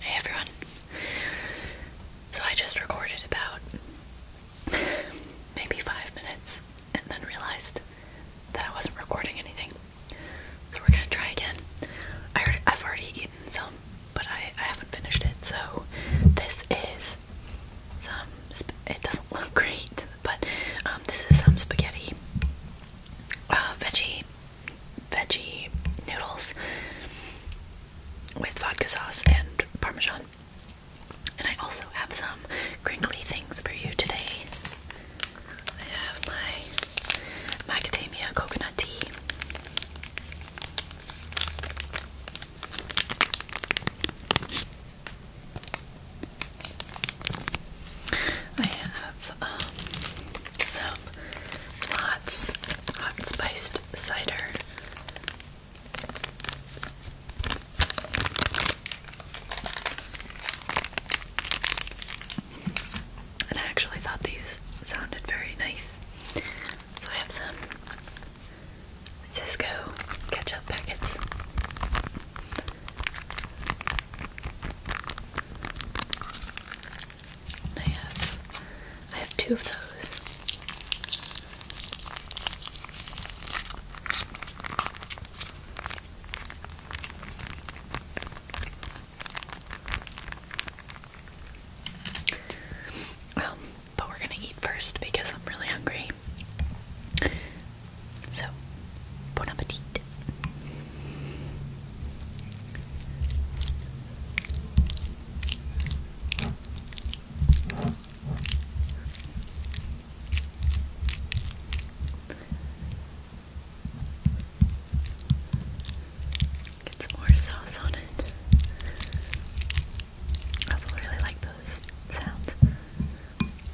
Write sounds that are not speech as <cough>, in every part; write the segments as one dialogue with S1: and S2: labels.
S1: Hey everyone. So I just recorded about maybe five minutes and then realized that I wasn't recording anything. So we're gonna try again. I have already eaten some, but I, I haven't finished it. So this is some. It doesn't look great but um, this is some spaghetti uh, veggie veggie noodles with vodka sauce and parmesan. And I also have some crinkly things for you today. I have my macadamia coconut tea. I have um, some Lots hot spiced cider. And I actually thought these sounded very nice. So I have some Cisco ketchup packets. I have I have two of those. Um, but we're gonna eat first because I'm really hungry. So, bon appetit. Get some more sauce on it. I also really like those sounds.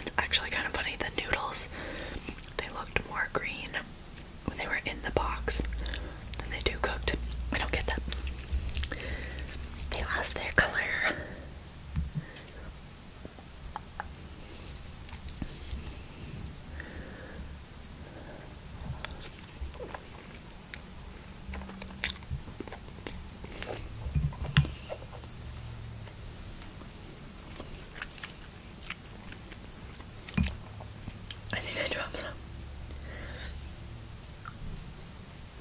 S1: it's actually kind of funny. The noodles, they looked more green when they were in the box than they do cooked. I don't get that. They lost their color. I think I dropped some.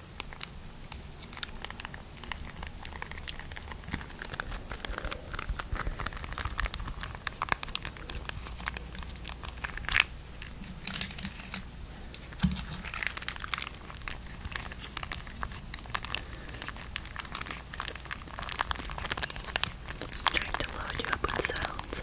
S1: Trying to load you up with sounds.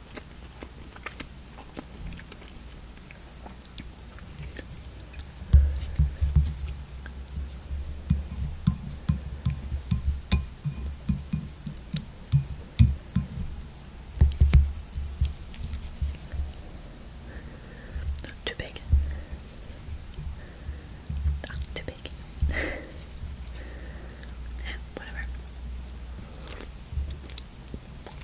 S1: Not too big. Not too big. yeah, <laughs> whatever.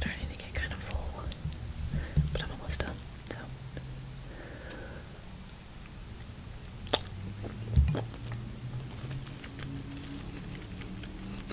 S1: Starting to get kind of full, but I'm almost done. So.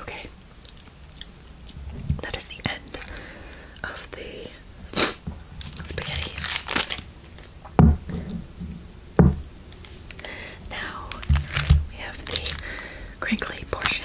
S1: Okay, that is the end of the spaghetti. Now we have the crinkly portion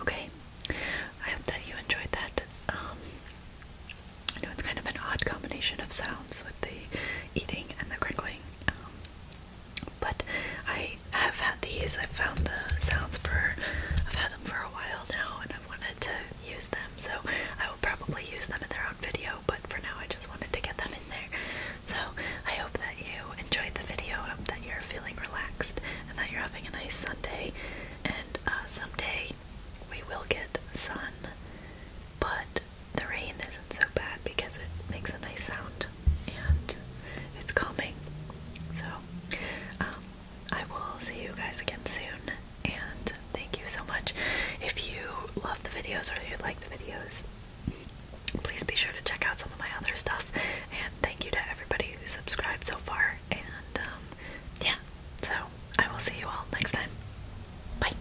S1: Okay, I hope that you enjoyed that. I um, know it's kind of an odd combination of sounds with the eating and the crinkling. Um, but I have had these. i found the sounds for. I've had them for a while now, and i wanted to use them. So I will probably use them in their own video. But for now, I just wanted to get them in there. So I hope that you enjoyed the video. I hope that you're feeling relaxed and that you're having a nice Sunday. And uh, someday we will get sun, but the rain isn't so bad because it makes a nice sound and it's coming, So, um, I will see you guys again soon, and thank you so much. If you love the videos or you like the videos, please be sure to check out some of my other stuff. And thank you to everybody who subscribed so far. And um, yeah, so I will see you all next time. Bye.